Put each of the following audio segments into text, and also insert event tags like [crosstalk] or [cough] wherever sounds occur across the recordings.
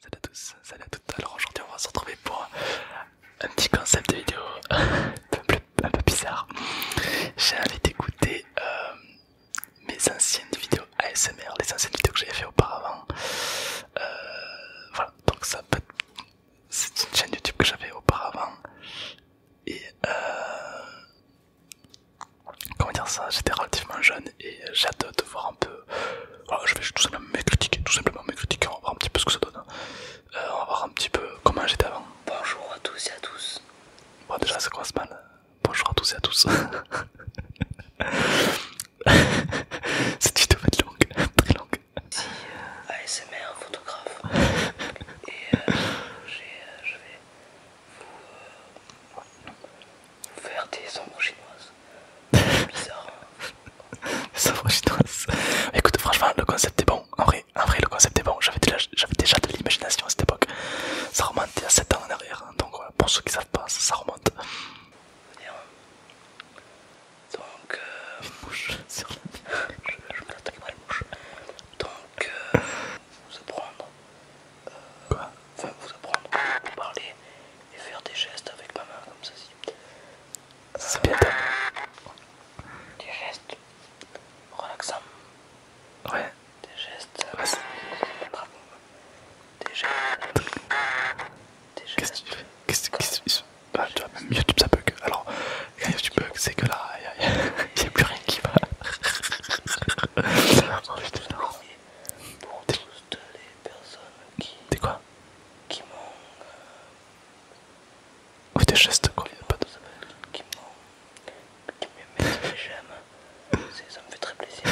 Salut à tous, salut à toutes. Alors aujourd'hui on va se retrouver pour un petit concept de vidéo [laughs] un, peu, bizarre. J'ai envie d'écouter euh, mes anciennes vidéos ASMR, les anciennes vidéos que j'avais fait auparavant. Euh, voilà, donc ça peut C'est une chaîne YouTube que j'avais auparavant. Et euh, comment dire ça, j'étais relativement jeune et j'adore de voir un peu ah, je vais tout simplement me critiquer, tout simplement me critiquer, on va voir un petit peu ce que ça donne. Hein. Euh, on va voir un petit peu comment j'étais avant. Bonjour à tous et à tous. Bon déjà ça commence mal. Bonjour à tous et à tous. [laughs] Cette vidéo va être longue, très longue. Ici euh, ASMR photographe et euh, je vais faire des ombres chinoises. Bizarre. Hein. [laughs] chinoises. Écoute, franchement, le concept est bon. En vrai, vrai le concept est bon. J'avais déjà, de l'imagination à cette époque. Ça remonte à 7 ans en arrière. Hein. Donc pour ceux qui savent pas, ça, remonte. Hein. Donc, euh, mouche [laughs] je, je me la Donc, euh, vous apprendre. Euh, enfin, vous apprendre, vous parler et faire des gestes avec ma main comme ça. C'est euh, Des gestes relaxants. Ouais. Des gestes. Euh, des gestes. Des gestes. Qu'est-ce que tu fais Qu'est-ce que tu fais ah, vois, même YouTube ça bug. Alors, quand YouTube bug, c'est que là, il n'y a, plus rien qui va. [laughs] Oh, pour toutes les personnes qui. T'es quoi Qui m'ont. Ou euh, des gestes quoi, qui pas de. Qui m'ont. Qui m'aiment des j'aime. [laughs] Ça me fait très plaisir.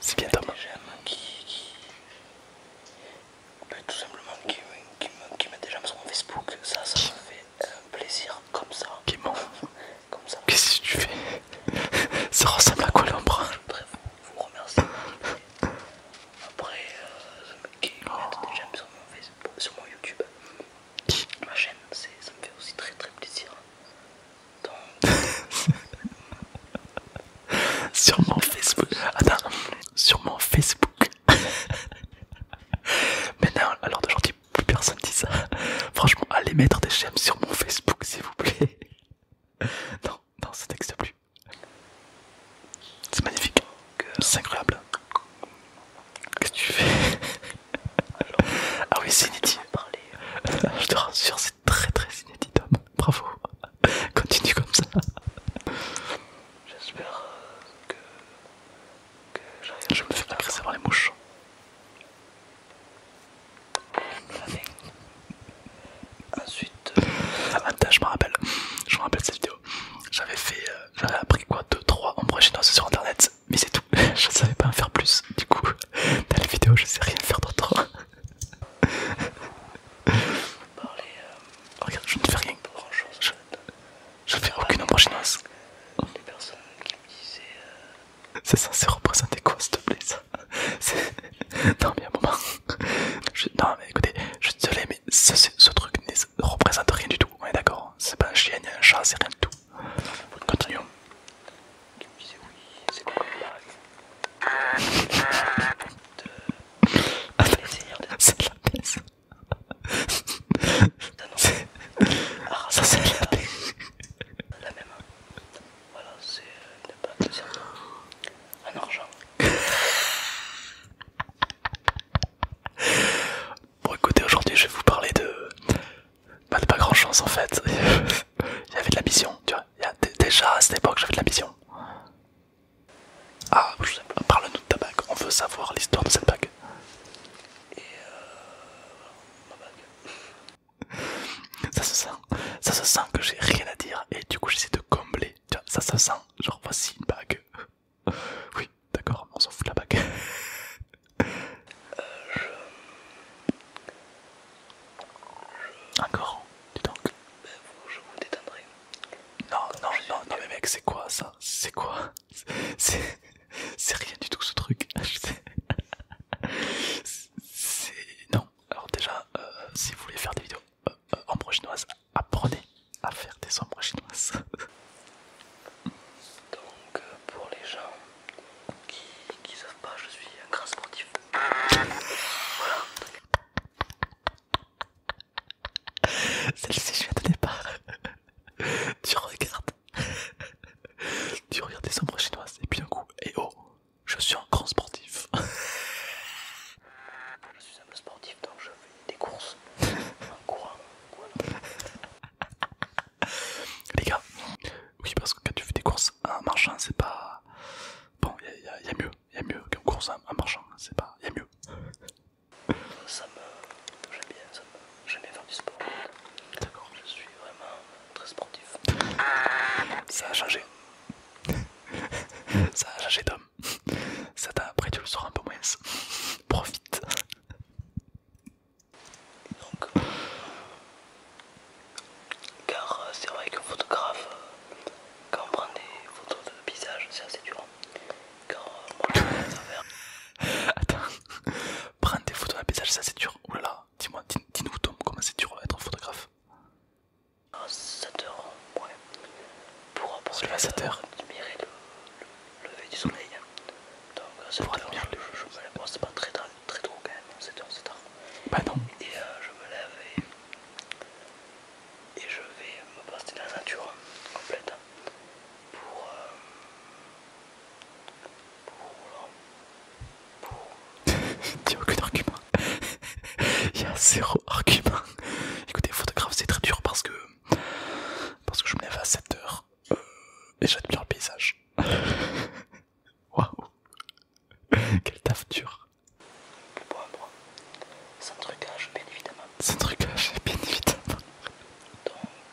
C'est bien dommage. J'aime qui. tout simplement qui, qui, qui, qui met des j'aime sur mon Facebook, ça, ça me fait un plaisir comme ça. Qu'est-ce que tu fais [laughs] Ça ressemble à quoi l'ombre je voudrais vous remercier Après, euh, qui des oh. j'aime sur mon Facebook, sur mon YouTube, ma chaîne, ça me fait aussi très très plaisir. Donc... [laughs] sur mon Facebook, attends, sur mon Facebook. [laughs] Maintenant, alors d'aujourd'hui, plus personne dit ça. [laughs] Franchement, allez mettre des j'aime sur mon Facebook, s'il vous plaît. [laughs] Non, non, ça n'existe plus. C'est magnifique, c'est incroyable. Qu'est-ce que tu fais [laughs] Ah oui, c'est inédit. Je te rassure, c'est très très inédit, Tom. Bravo. Continue comme ça. J'espère que je me fais agresser par les mouches. Ensuite, euh, Attends, je me rappelle, je me rappelle cette vidéo. J'avais fait, euh, j'avais appris quoi 2-3 ombres chinoises sur internet, mais c'est tout. [laughs] je ne savais pas en faire plus. Du coup, dans [laughs] les vidéo, je sais rien faire d'autre. [laughs] Euh, Regarde, je ne fais rien. Je fais aucune embranchance. des personnes qui me disaient. C'est censé représenter quoi, s'il te plaît, ça [laughs] Non, mais à un moment. Non, mais écoutez, je suis désolé, mais ce, truc ne représente rien du tout. On est d'accord hein. C'est pas un chien, ni un chat, c'est rien du tout. Continuons. Qui me disait oui, c'est bon, [laughs] c'est la baisse. Ah, ça c'est la même. Hein. Voilà, c'est euh, une un argent. Bon, écoutez, aujourd'hui je vais vous parler de. Bah, de pas grand chose en fait. [laughs] Il y avait de vision, tu vois. déjà à cette époque j'avais de la vision. Ah, parle-nous de ta bague. On veut savoir l'histoire de cette bague. Et euh, [laughs] Ça se sent, ça se sent que j'ai rien à dire et du coup j'essaie de combler. ça se sent, genre voici une bague. [laughs] Oui, d'accord, on s'en fout la bague. [laughs] Encore, dis donc. Ben, je vous détendrai. non, non, non, mais mec, c'est quoi ça C'est quoi c'est rien du tout ce truc. C'est. Non. Alors, déjà, euh, si vous voulez faire des vidéos en euh, euh, chinoises, apprenez à faire des ombres chinoises. Donc, pour les gens qui ne savent pas, je suis un grand sportif. Voilà. Celle-ci, je viens de pas, [laughs] tu regardes. tu regardes des ombres chinoises et puis d'un coup, et eh oh, je suis un grand sportif. je suis un peu sportif donc je fais des courses. en courant, Les gars, oui, parce que quand tu fais des courses en marchant, c'est pas. Bon, il y, a mieux, il y a mieux qu'une course en marchant, c'est pas. Il y a mieux. Ça me. J'aime bien, ça me... faire du sport. D'accord. Je suis vraiment très sportif. Ça a changé. [laughs] ça a changé d'homme. Ça t'a après tu le sors un peu moins. Profite. Donc, car euh, c'est vrai qu'un photographe, euh, quand on prend des photos de visage c'est assez dur quand faire. Attends, prendre des photos d'un paysage, ça c'est dur. Oulala, dis-moi, dis-nous Tom, comment c'est dur d'être photographe 7 heures, ouais. Pour apprendre 7 admirer le, le, lever du soleil. Donc à 7 heures, je, je me lève. c'est pas très, très, très drôle quand même, 7 h c'est tard. Bah non. Et euh, je me lève et et je vais me poster la nature complète hein, pour, euh, pour, pour... il n'y a aucun argument il y a zéro argument écoutez photographe c'est très dur parce que parce que je me lève à 7h euh, et j'admire le paysage [laughs] waouh quel taf dur Bois, bois. Sans trucage, bien évidemment. Sans trucage, bien évidemment.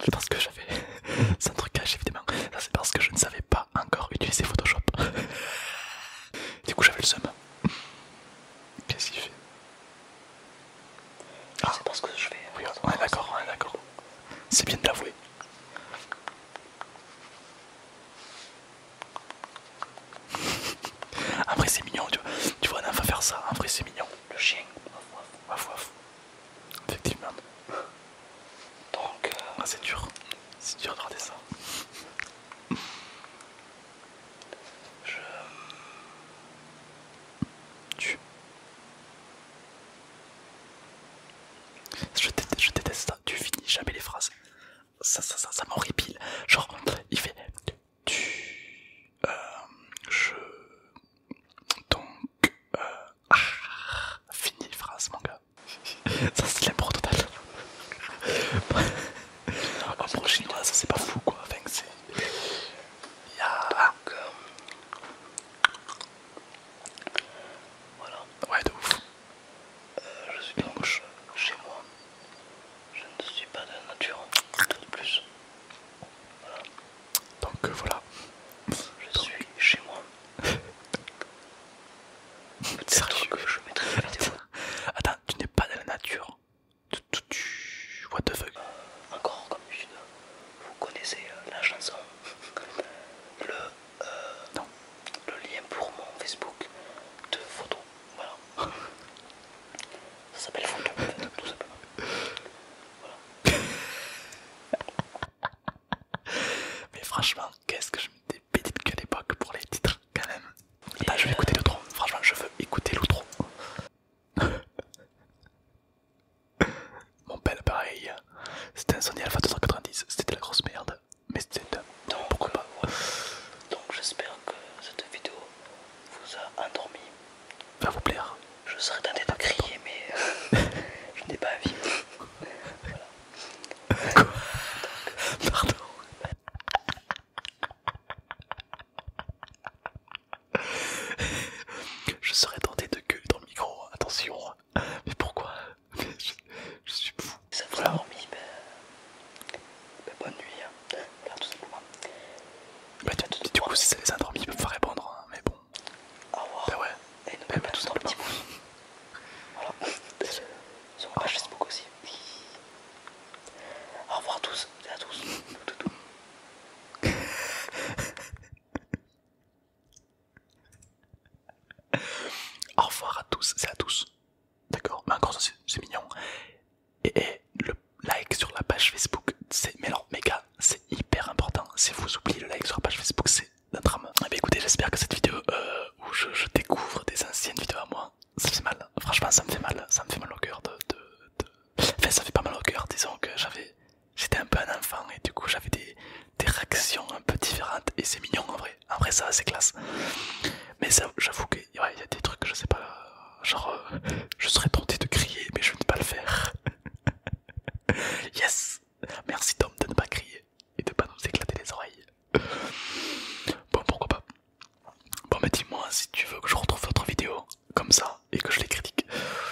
C'est Parce que j'avais. Sans [laughs] trucage, évidemment. Ça, c'est parce que je ne savais pas encore utiliser Photoshop. [laughs] du coup, j'avais le seum. Qu'est-ce qu'il fait ah. C'est parce que je vais. Oui, on est d'accord, on est d'accord. C'est bien de l'avouer. Après c'est mignon, tu vois. Tu vois on enfant faire ça, après c'est mignon. Le chien. Waf waf. Effectivement. Donc... Euh, ah, c'est dur. C'est dur de regarder ça. Je... Euh, tu... Je déteste, je déteste ça. Tu finis jamais les phrases ça, ça, ça, ça m'horripile. Genre, il fait tu, euh, je, donc, euh, ah, fini phrase, mon gars. [laughs] ça, c'est la total. [laughs] ça, c'est pas fou, quoi. Enfin, c'est. Y'a... Voilà. Ouais, de ouf. Euh, je suis donc chez moi. Je ne suis pas de la nature, de plus. Donc euh, voilà. Je suis chez moi. [laughs] Sérieux. que je mettrai la Attends, tu n'es pas de la nature. what the fuck Encore euh, comme d'habitude, vous connaissez la chanson. Le euh, non, le lien pour mon Facebook de photos. Voilà. [laughs] Ça s'appelle photo, tout simplement. Voilà. [laughs] Mais franchement, qu'est-ce que je me dépédite qu'à l'époque pour les titres, quand même. là je vais euh, écouter l'outro. Franchement, je veux écouter l'outro. [laughs] Mon bel appareil, C'était un Sony Alpha 290, c'était la grosse merde mais Donc, pourquoi pas euh, Donc j'espère que cette vidéo vous a endormi. Va vous plaire. Je serais tenté de crier mais euh, [laughs] je n'ai pas vie. voilà. [laughs] Pardon. [laughs] je serais tenté de gueuler dans le micro, attention. Mais pourquoi [laughs] je, suis fou. Si Ça vous a dormi, bonne nuit, hein. voilà, tout simplement. Bah, tiens, du coup, si ça les a endormis, ils peuvent pas répondre, hein, mais bon. Au revoir. Bah, et nous bah, Et bah, tous dans le petit pouce. Voilà. [laughs] Sur ma page Facebook aussi. Au revoir à tous et à tous. [laughs] [laughs] Au revoir à tous, c'est à tous. D'accord Mais encore ça, c'est mignon. Et, le like sur la page Facebook, c'est. Mais alors, mes c'est hyper important. Si vous oubliez le like sur la page Facebook, c'est notre drame Et eh bien écoutez, j'espère que cette vidéo euh, où je, découvre des anciennes vidéos à moi, ça fait mal. Franchement, ça me fait mal. Ça me fait mal au cœur de. Enfin, ça fait pas mal au cœur. Disons que j'avais. J'étais un peu un enfant et du coup, j'avais des des réactions un peu différentes et c'est mignon en vrai. après ça c'est classe. Mais j'avoue qu'il y a des trucs, je sais pas, genre euh, je serais tenté de crier, mais je ne vais pas le faire. yes! Merci Tom de ne pas crier et de ne pas nous éclater les oreilles. Bon, pourquoi pas. Bon, mais dis-moi si tu veux que je retrouve votre vidéo comme ça et que je les critique.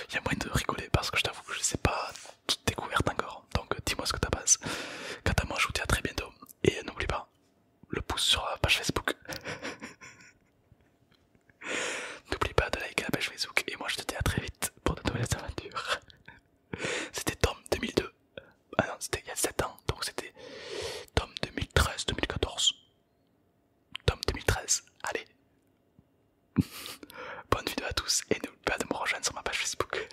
Il y a moyen de rigoler parce que je t'avoue que je sais pas découverte encore. Hein, Donc euh, dis-moi ce que tu passé. Quant à moi, je vous dis à très bientôt. Et n'oublie pas, le pouce sur la page Facebook. [laughs] n'oublie pas de liker la page Facebook. Et moi, je te dis à très vite pour de nouvelles aventures. [laughs] c'était Tom 2002. Ah non, c'était il y a 7 ans. Donc c'était Tom 2013-2014. Tom 2013. Allez, [laughs] Bonne vidéo à tous et n'oubliez pas de me rejoindre sur ma page Facebook.